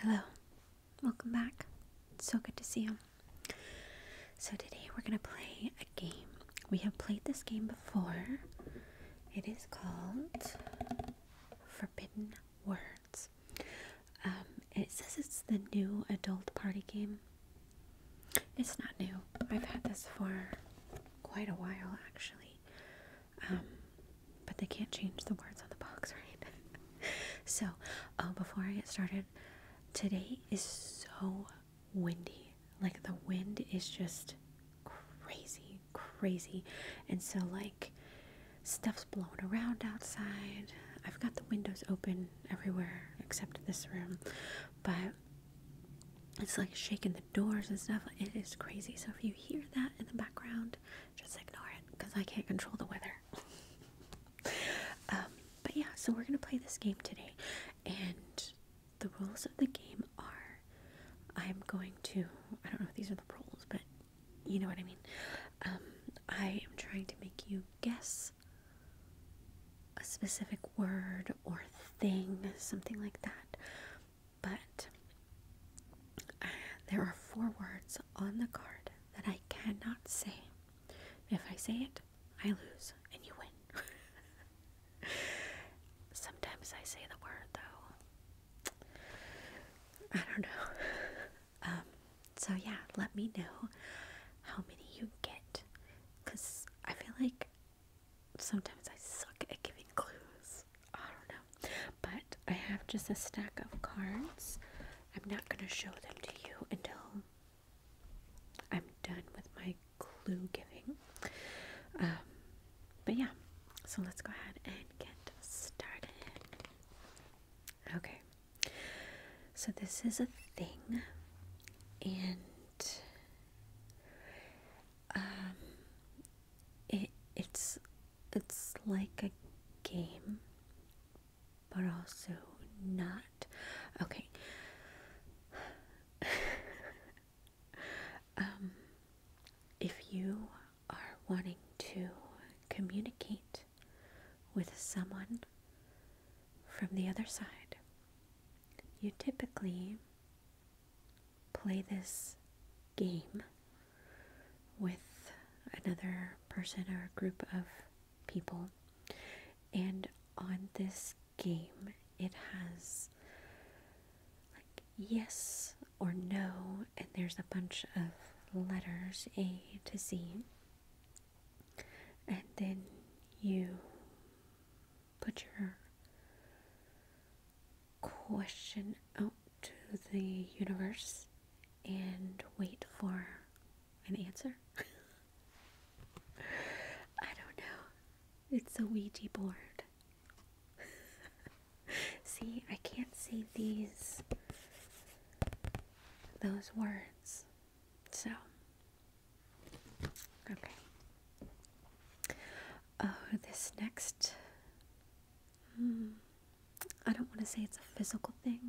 Hello, welcome back. so good to see you. So, today we're going to play a game. We have played this game before. It is called Forbidden Words. Um, it says it's the new adult party game. It's not new, I've had this for quite a while actually. Um, but they can't change the words on the box, right? so, uh, before I get started, today is so windy. Like, the wind is just crazy, crazy. And so, like, stuff's blowing around outside. I've got the windows open everywhere except this room, but it's like shaking the doors and stuff. It is crazy. So if you hear that in the background, just ignore it because I can't control the weather. um, but yeah, so we're gonna play this game today, and the rules of the game are I'm going to I don't know if these are the rules, but you know what I mean. Um, I am trying to make you guess a specific word or thing, something like that. But uh, there are four words on the card that I cannot say. If I say it, I lose and you win. Sometimes I say the word though. I don't know. Um, so yeah, let me know how many you get. Because I feel like sometimes I suck at giving clues. I don't know. But I have just a stack of cards. I'm not going to show them to you until I'm done with my clue giving. Um, but yeah, so let's go ahead and get started. Okay, so this is a thing, and um, it it's it's like a game, but also not. Okay. um, if you are wanting to communicate with someone from the other side, you typically play this game with another person or a group of people. And on this game, it has like yes or no, and there's a bunch of letters A to Z. And then you put your question out to the universe and wait for an answer. I don't know. It's a Ouija board. See, I can't say these those words. So Okay. Oh, this next. Hmm, I don't want to say it's a physical thing,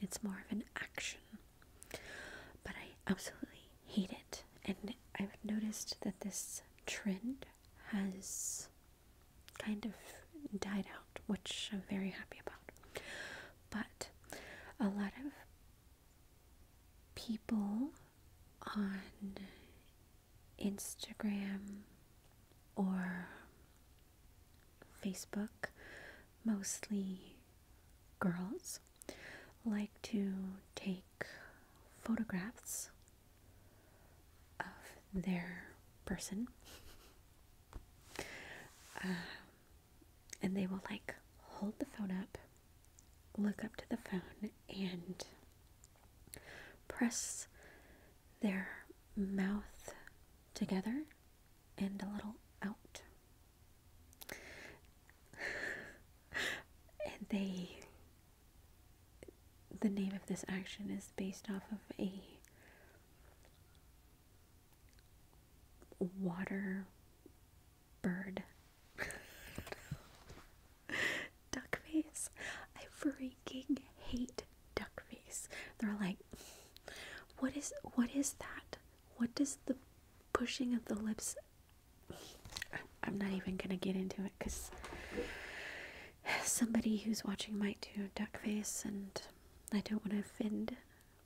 it's more of an action. But I absolutely hate it. And I've noticed that this trend has kind of died out, which I'm very happy about. But a lot of people on Instagram or Facebook, mostly girls, like to take photographs of their person. Um, and they will like hold the phone up look up to the phone and press their mouth together and a little out. and they, the name of this action is based off of a water bird. duck face. I freaking hate duck face. They're like, what is what is that? What does the pushing of the lips? I'm not even gonna get into it because somebody who's watching might do duck face, and I don't want to offend.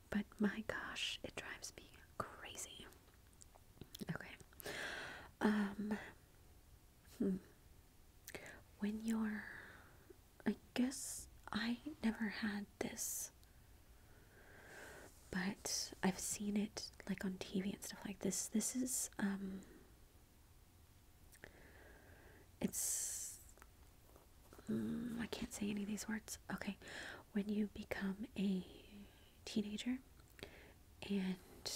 But my gosh, it drives me crazy. Okay. Um. Hmm. When you're. I guess I never had this. But I've seen it like on TV and stuff like this. This is. Um. It's. Mm, I can't say any of these words. Okay. When you become a teenager, and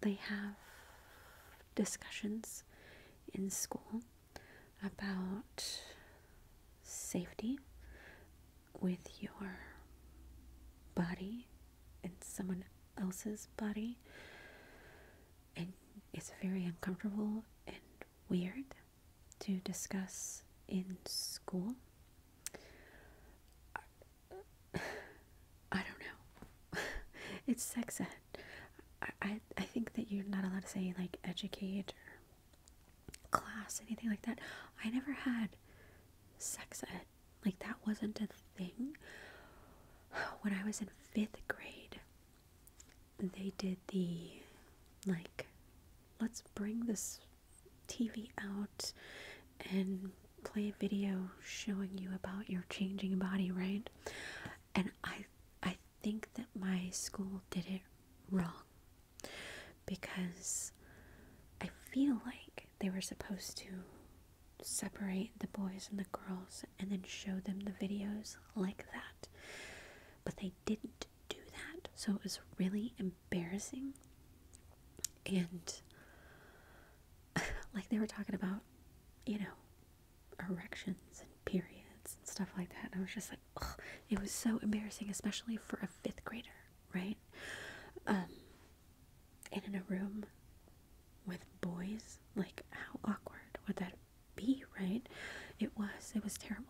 they have discussions in school about safety with your body and someone else's body and it's very uncomfortable and weird to discuss in school I don't know. it's sex ed. I, I I think that you're not allowed to say like educate or class anything like that. I never had sex ed. Like that wasn't a thing. When I was in fifth grade, they did the like, let's bring this TV out and play a video showing you about your changing body, right? And I I think that my school did it wrong because I feel like they were supposed to separate the boys and the girls and then show them the videos like that. But they didn't do that. So it was really embarrassing. And like they were talking about, you know, erections and periods and stuff like that. And I was just like, it was so embarrassing, especially for a fifth grader, right? Um, and in a room with boys, like how awkward would that be, right? It was, it was terrible.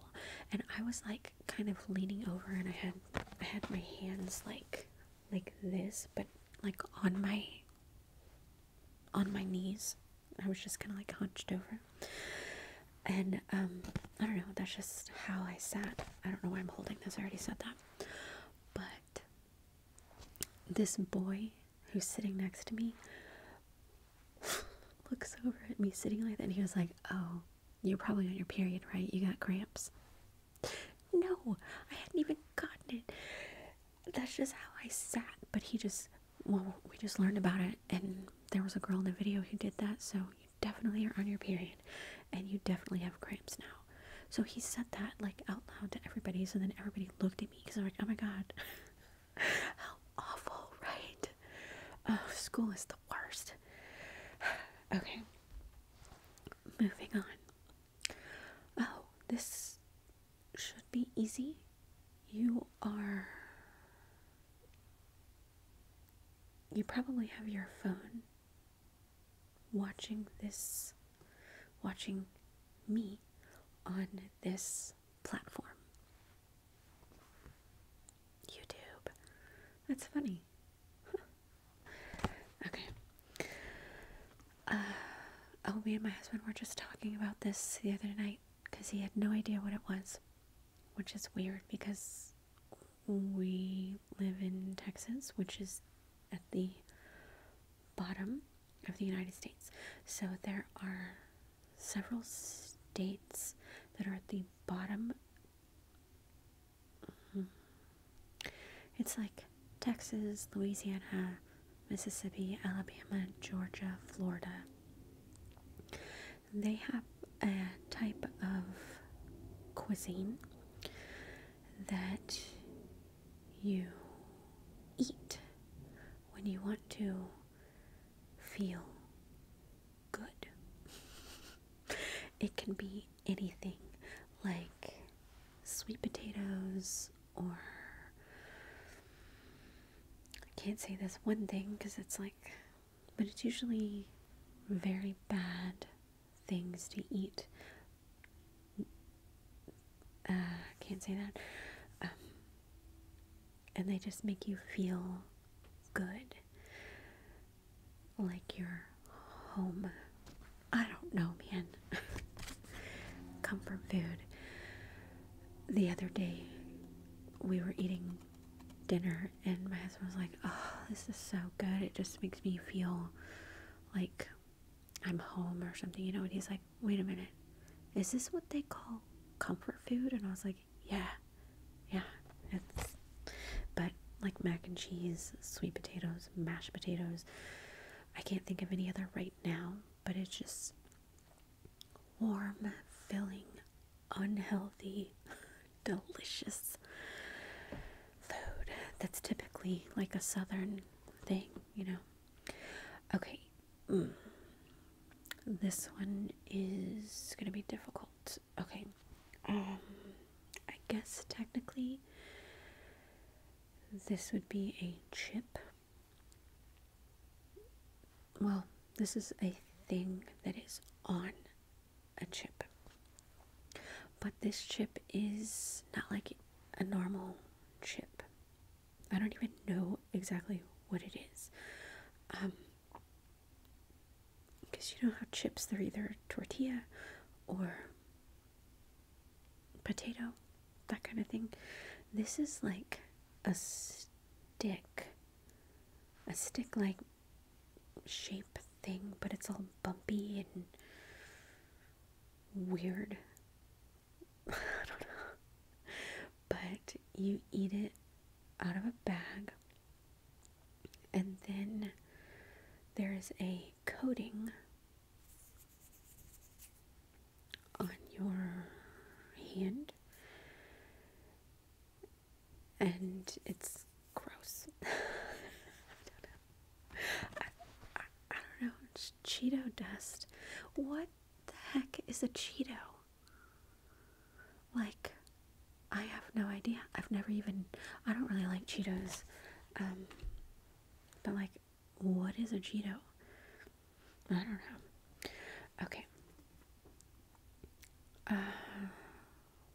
And I was like kind of leaning over and I had I had my hands like like this, but like on my on my knees. I was just kind of like hunched over. And um I don't know, that's just how I sat. I don't know why I'm holding this. I already said that. But this boy who's sitting next to me looks over at me sitting like that and he was like, "Oh, you're probably on your period, right? You got cramps. No, I hadn't even gotten it. That's just how I sat. But he just, well, we just learned about it, and there was a girl in the video who did that, so you definitely are on your period, and you definitely have cramps now. So he said that, like, out loud to everybody, so then everybody looked at me because I'm like, oh my god, how awful, right? Oh, school is the worst. okay. Moving on. Oh, this should be easy. You are. You probably have your phone watching this, watching me on this platform. YouTube. That's funny. Okay. Uh, oh, me and my husband were just talking about this the other night because he had no idea what it was, which is weird because we live in Texas, which is at the bottom of the United States. So there are several states that are at the bottom Mm-hmm. It's like Texas, Louisiana, Mississippi, Alabama, Georgia, Florida. They have a type of cuisine that you eat when you want to feel good. It can be anything like sweet potatoes or I can't say this one thing because it's like, but it's usually very bad things to eat. Uh, I can't say that. Um, and they just make you feel good like your home. I don't know, man. Comfort food. The other day, we were eating dinner, and my husband was like, Oh, this is so good. It just makes me feel like I'm home or something, you know? And he's like, Wait a minute. Is this what they call comfort food? And I was like, Yeah, yeah. It's but like mac and cheese, sweet potatoes, mashed potatoes. I can't think of any other right now, but it's just warm, filling, unhealthy, delicious food that's typically like a southern thing, you know. Okay. Mm, this one is going to be difficult okay. Um, I guess technically this would be a chip. Well, this is a thing that is on a chip. But this chip is not like a normal chip. I don't even know exactly what it is. Um, because you know how chips they're either tortilla or potato, that kind of thing. This is like a stick, a stick like shape thing, but it's all bumpy and weird. I don't know. But you eat it out of a bag and then there is a coating on your hand, and it's gross. I don't know. Cheeto dust. What the heck is a Cheeto? Like, I have no idea. I've never even, I don't really like Cheetos. Um, but like, what is a Cheeto? I don't know. Okay. Uh,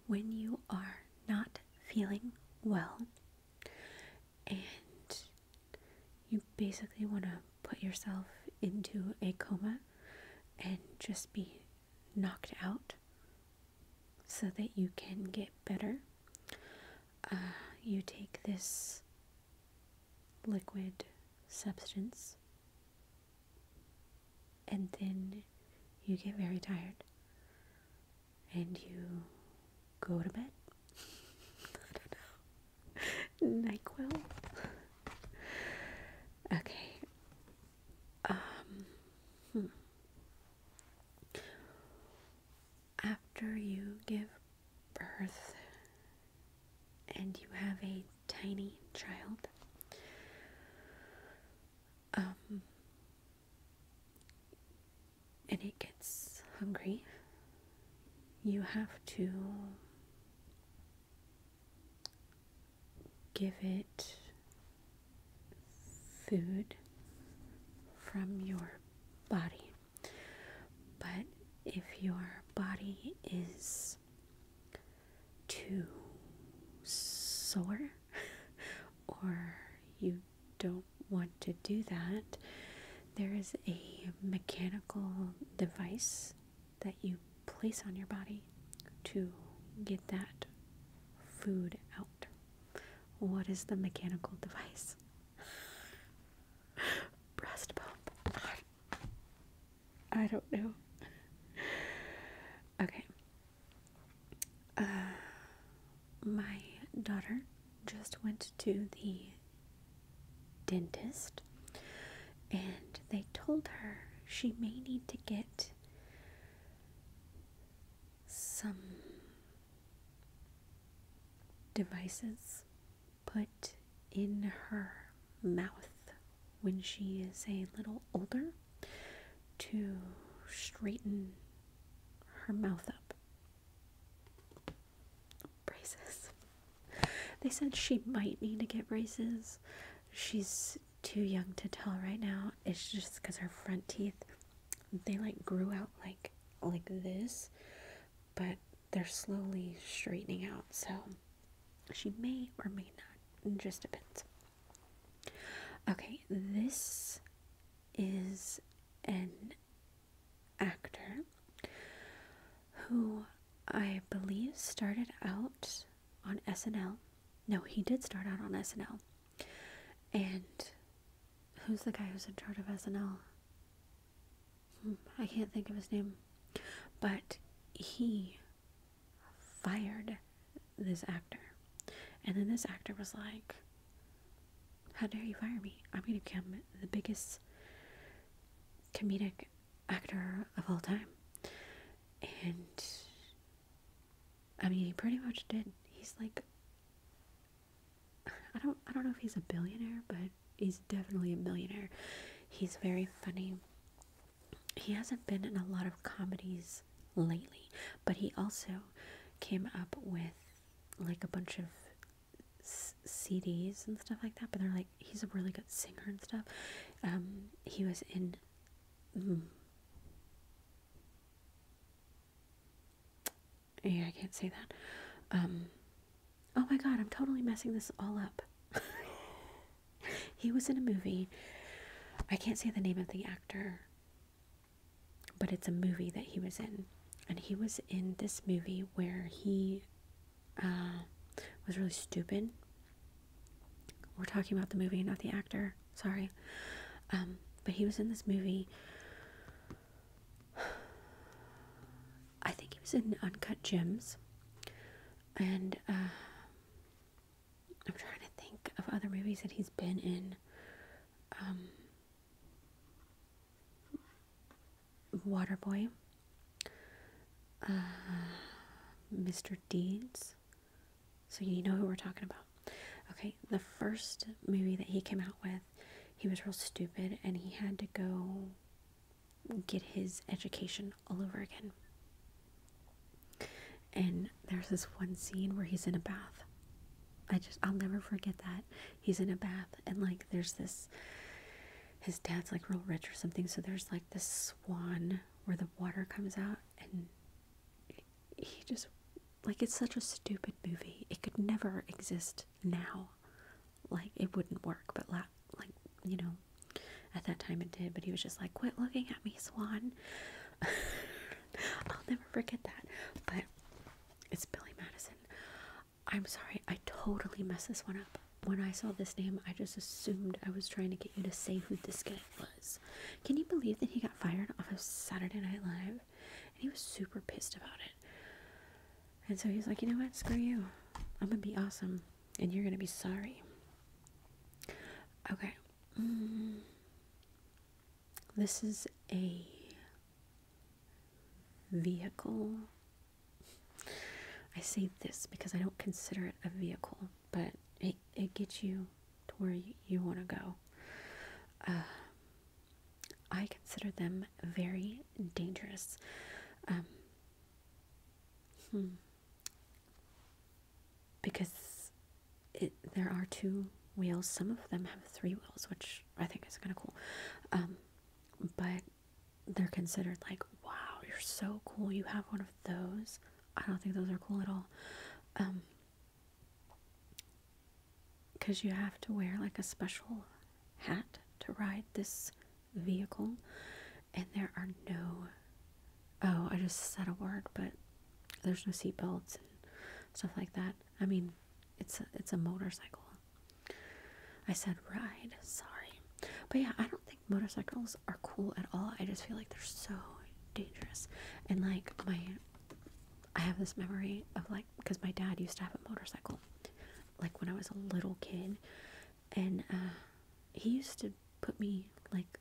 when you are not feeling well and you basically want to put yourself into a coma and just be knocked out so that you can get better. Uh, you take this liquid substance and then you get very tired and you go to bed. I don't know. NyQuil? okay. Um, hmm. After you give birth and you have a tiny child, um, and it gets hungry, you have to give it food from your body. But if your body is too sore or you don't want to do that, there is a mechanical device that you place on your body to get that food out. What is the mechanical device? Breast pump. I don't know. Okay. Uh, my daughter just went to the dentist and they told her she may need to get some devices put in her mouth when she is a little older to straighten her mouth up. Braces. They said she might need to get braces. She's too young to tell right now. It's just because her front teeth, they like grew out like like this, but they're slowly straightening out. So she may or may not. just depends. Okay, this is an actor who I believe started out on SNL no, he did start out on SNL. And who's the guy who's in charge of SNL? Hmm, I can't think of his name. But he fired this actor. And then this actor was like, How dare you fire me? I'm going to become the biggest comedic actor of all time. And I mean, he pretty much did. He's like I don't I don't know if he's a billionaire, but he's definitely a billionaire. He's very funny. He hasn't been in a lot of comedies lately, but he also came up with like a bunch of CDs and stuff like that. But they're like he's a really good singer and stuff. Um, he was in mm, yeah, I can't say that. Um, oh my god, I'm totally messing this all up. he was in a movie. I can't say the name of the actor, but it's a movie that he was in. And he was in this movie where he uh, was really stupid. We're talking about the movie, not the actor. Sorry. Um, but he was in this movie. I think he was in Uncut Gems. And uh, I'm trying to think of other movies that he's been in. Um, Waterboy. Uh, Mr. Deeds. So you know who we're talking about. Okay, the first movie that he came out with, he was real stupid and he had to go get his education all over again. And there's this one scene where he's in a bath. I just, I'll never forget that. He's in a bath and like there's this, his dad's like real rich or something. So there's like this swan where the water comes out and he just like it's such a stupid movie. It could never exist now. Like it wouldn't work, but like you know, at that time it did, but he was just like, "Quit looking at me, Swan." I'll never forget that. But it's Billy Madison. I'm sorry, I totally messed this one up. When I saw this name, I just assumed I was trying to get you to say who this guy was. Can you believe that he got fired off of Saturday Night Live? And he was super pissed about it. And so he's like, you know what? Screw you. I'm gonna be awesome, and you're gonna be sorry. Okay. Mm. This is a vehicle. I say this because I don't consider it a vehicle but it, it gets you to where you, want to go. Uh, I consider them very dangerous. Um, hmm. Because there are two wheels. Some of them have three wheels, which I think is kind of cool. Um, but they're considered like, wow, you're so cool. You have one of those. I don't think those are cool at all. Um, because you have to wear like a special hat to ride this vehicle and there are no oh i just said a word but there's no seatbelts and stuff like that i mean it's a, it's a motorcycle i said ride sorry but yeah i don't think motorcycles are cool at all i just feel like they're so dangerous and like my I have this memory of like because my dad used to have a motorcycle, like when I was a little kid, and uh, he used to put me like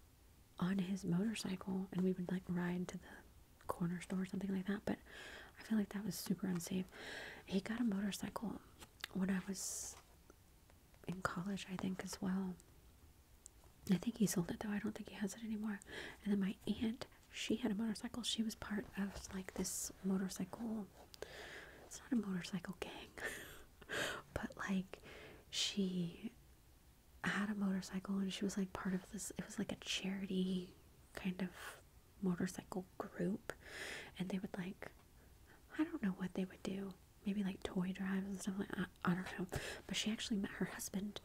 on his motorcycle, and we would like ride to the corner store or something like that. But I feel like that was super unsafe. He got a motorcycle when I was in college, I think, as well. I think he sold it though. I don't think he has it anymore. And then my aunt, she had a motorcycle. She was part of like this motorcycle. It's not a motorcycle gang, but like she had a motorcycle and she was like part of this. It was like a charity kind of motorcycle group, and they would like, I don't know what they would do. Maybe like toy drives and stuff like. I, I don't know. But she actually met her husband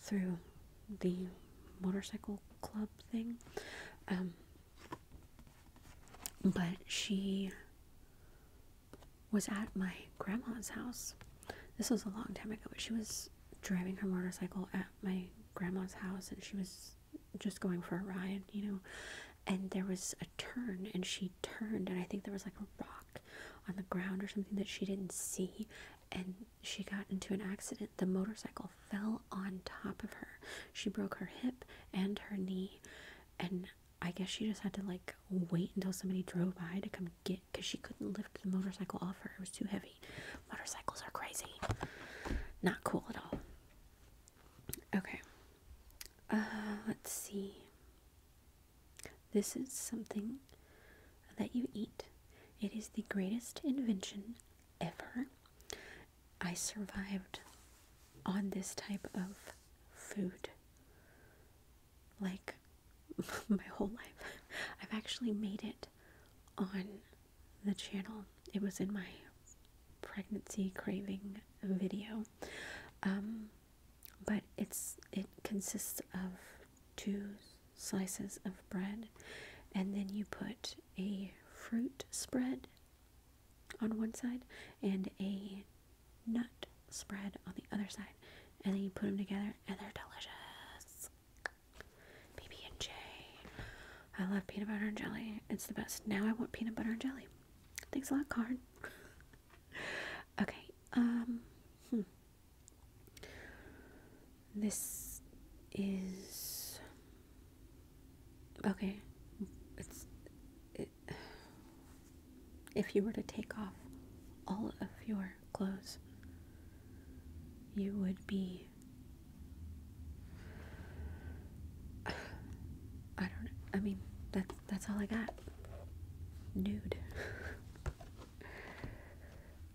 through the motorcycle club thing. Um, but she was at my grandma's house. This was a long time ago, but she was driving her motorcycle at my grandma's house and she was just going for a ride, you know. And there was a turn and she turned and I think there was like a rock on the ground or something that she didn't see and she got into an accident. The motorcycle fell on top of her. She broke her hip and her knee and I guess she just had to like wait until somebody drove by to come get because she couldn't lift the motorcycle off her. It was too heavy. Motorcycles are crazy. Not cool at all. Okay. Uh, let's see. This is something that you eat. It is the greatest invention ever. I survived on this type of food like my whole life. I've actually made it on the channel. It was in my pregnancy craving video. Um, but it's it consists of two slices of bread, and then you put a fruit spread on one side and a nut spread on the other side, and then you put them together, and they're delicious. PB and J. I love peanut butter and jelly. It's the best. Now I want peanut butter and jelly. Thanks a lot, Card. okay. Um. Hmm. This is okay. It's if you were to take off all of your clothes, you would be I don't I mean that's that's all I got. Nude.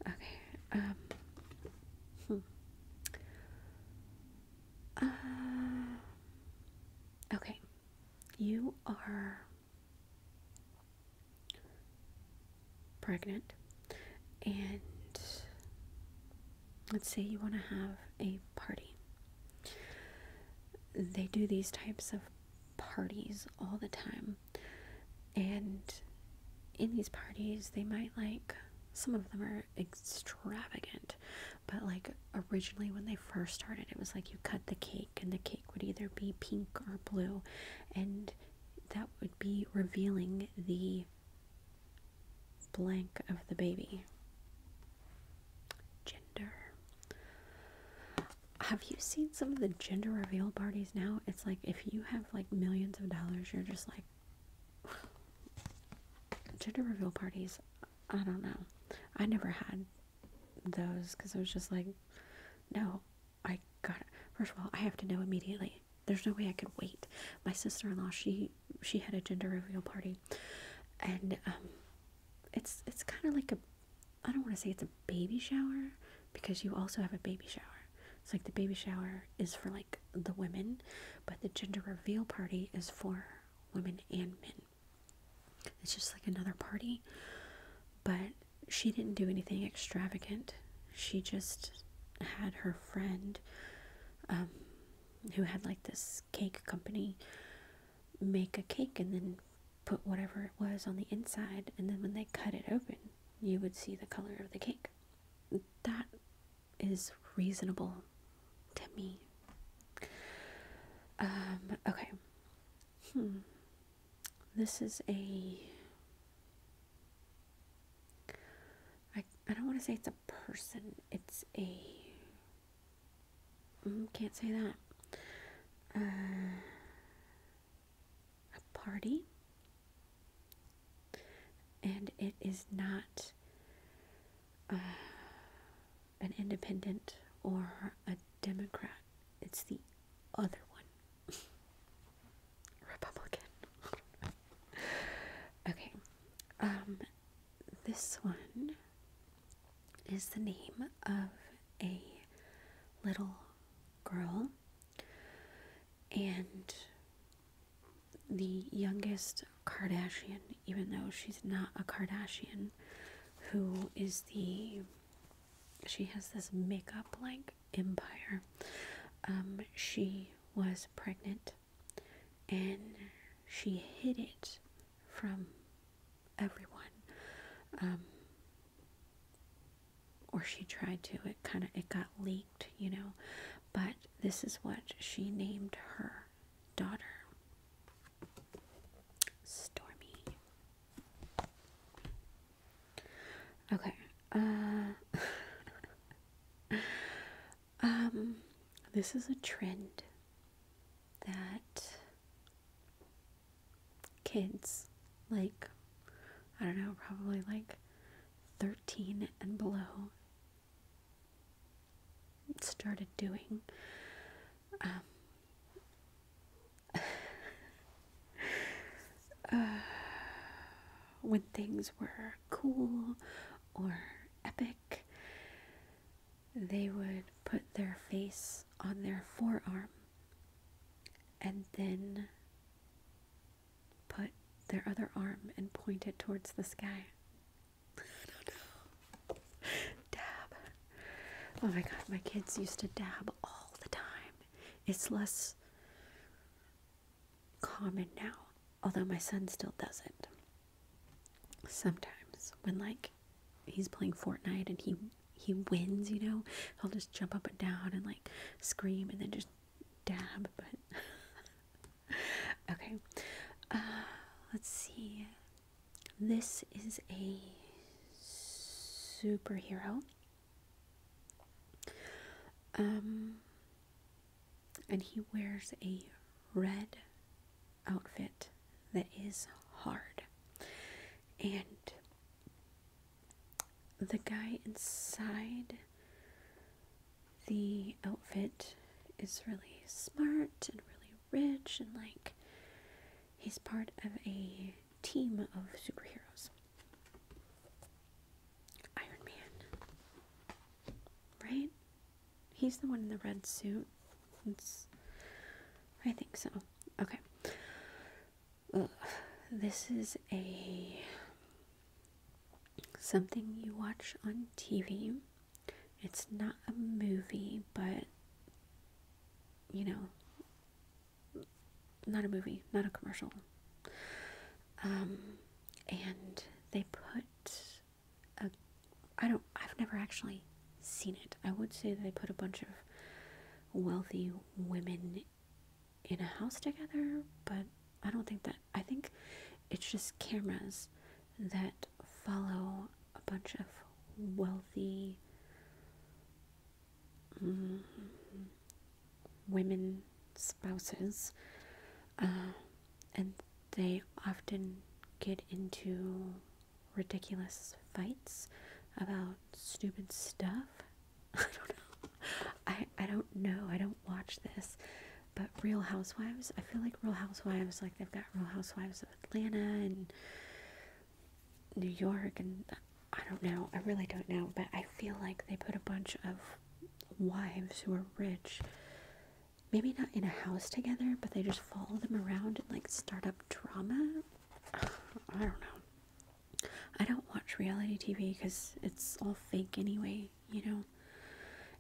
Okay, um, hmm. uh, okay, you are pregnant, and let's say you want to have a party. They do these types of parties all the time and in these parties, they might like some of them are extravagant, but like originally when they first started, it was like you cut the cake, and the cake would either be pink or blue, and that would be revealing the blank of the baby gender have you seen some of the gender reveal parties now? It's like if you have like millions of dollars, you're just like gender reveal parties. I don't know. I never had those because I was just like, no, I got it. First of all, I have to know immediately. There's no way I could wait. My sister-in-law, she she had a gender reveal party, and um, it's it's kind of like a I don't want to say it's a baby shower because you also have a baby shower. It's like the baby shower is for like the women, but the gender reveal party is for women and men. It's just like another party. But she didn't do anything extravagant. She just had her friend um, who had like this cake company make a cake and then put whatever it was on the inside, and then when they cut it open, you would see the color of the cake. That is reasonable to me. Um, okay. Hmm. This is a. I, I don't want to say it's a person. It's a. Mm, can't say that. Uh, a party, and it is not uh, an independent or a Democrat, it's the other one Republican. okay, um, this one is the name of a little girl, and the youngest Kardashian, even though she's not a Kardashian, who is the she has this makeup like empire. Um, she was pregnant and she hid it from everyone. Um, or she tried to. It kind of it got leaked, you know. But this is what she named her daughter. Stormy. Okay. Uh, um, this is a trend that kids, like, I don't know, probably like 13 and below, started doing. Um, uh, when things were cool or epic, they would put their face on their forearm and then put their other arm and point it towards the sky. I do Dab. Oh my god, my kids used to dab all the time. It's less common now, although my son still does it. Sometimes when like he's playing Fortnite and he he wins, you know, he'll just jump up and down and like scream and then just dab. But okay, uh, let's see. This is a superhero. Um, and he wears a red outfit that is hard. And the guy inside the outfit is really smart and really rich and like he's part of a team of superheroes. Iron Man. Right? He's the one in the red suit. It's, I think so. Okay. This is a something you watch on TV. It's not a movie, but you know, not a movie, not a commercial. Um, and they put a I don't I've never actually seen it. I would say they put a bunch of wealthy women in a house together, but I don't think that. I think it's just cameras that follow a bunch of wealthy mm-hmm, women spouses, uh, and they often get into ridiculous fights about stupid stuff. I don't know. I, I don't know. I don't watch this. But Real Housewives, I feel like Real Housewives, like they've got Real Housewives of Atlanta and New York, and I don't know. I really don't know. But I feel like they put a bunch of wives who are rich, maybe not in a house together, but they just follow them around and like start up drama. I don't know. I don't watch reality TV because it's all fake anyway, you know.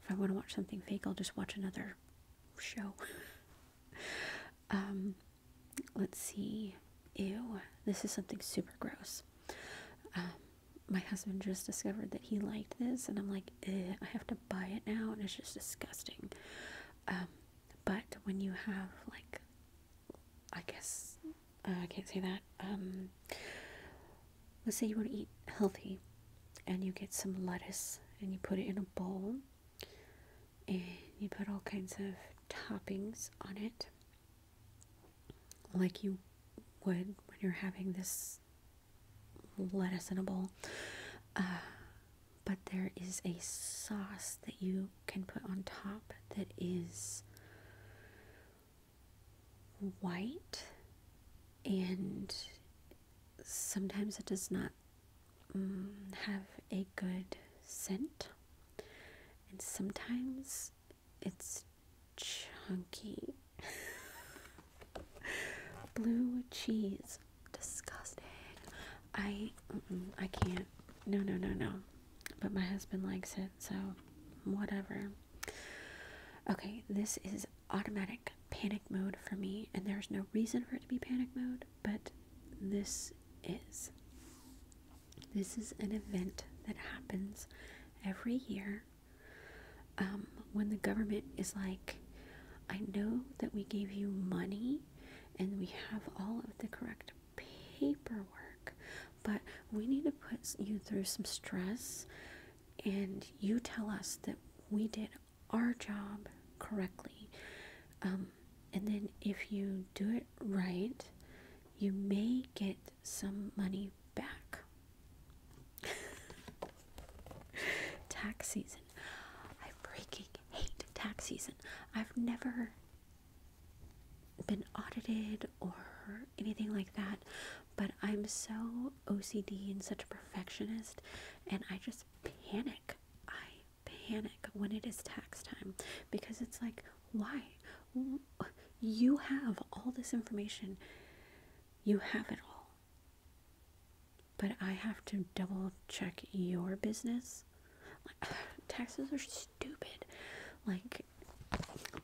If I want to watch something fake, I'll just watch another show. um, let's see. Ew, this is something super gross. Um, my husband just discovered that he liked this, and I'm like, I have to buy it now, and it's just disgusting. Um, but when you have like I guess uh, I can't say that. Um, let's say you want to eat healthy, and you get some lettuce and you put it in a bowl, and you put all kinds of toppings on it, like you would when you're having this lettuce in a bowl. Uh, but there is a sauce that you can put on top that is white and sometimes it does not mm, have a good scent and sometimes it's chunky blue cheese disgusting I, I can't. No, no, no, no. But my husband likes it, so whatever. Okay, this is automatic panic mode for me, and there's no reason for it to be panic mode, but this is. This is an event that happens every year um, when the government is like, I know that we gave you money and we have all of the correct paperwork, but we need to put you through some stress and you tell us that we did our job correctly. Um, and then if you do it right, you may get some money back. tax season. I freaking hate tax season. I've never been audited or anything like that, but I'm so OCD and such a perfectionist, and I just panic. I panic when it is tax time because it's like, why? You have all this information, you have it all, but I have to double check your business taxes are stupid. Like,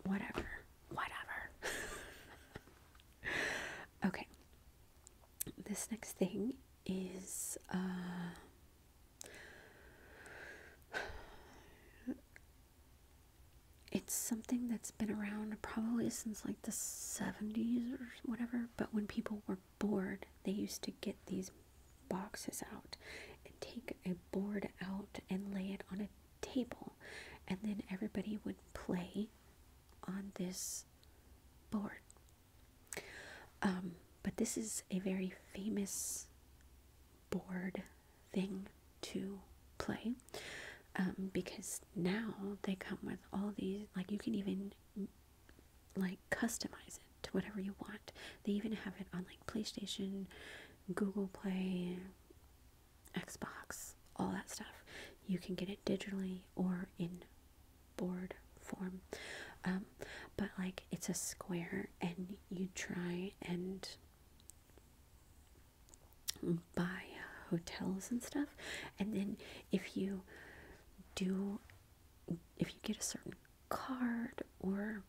whatever. Whatever. okay. This next thing is, uh,. It's something that's been around probably since like the 70s or whatever, but when people were bored, they used to get these boxes out and take a board out and lay it on a table and then everybody would play on this board um, but this is a very famous board thing to play um, because now they come with all these like you can even like customize it to whatever you want. They even have it on like PlayStation, Google Play, Xbox, all that stuff. You can get it digitally or in board form. Um, but like it's a square and you try and buy hotels and stuff and then if you do if you get a certain card or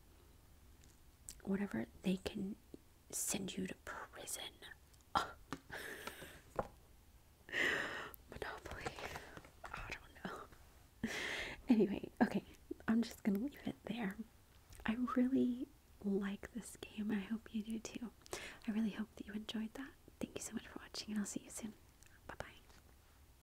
whatever, they can send you to prison. Monopoly. I don't know. Anyway, okay, I'm just gonna leave it there. I really like this game. I hope you do too. I really hope that you enjoyed that. Thank you so much for watching, and I'll see you soon. Bye bye.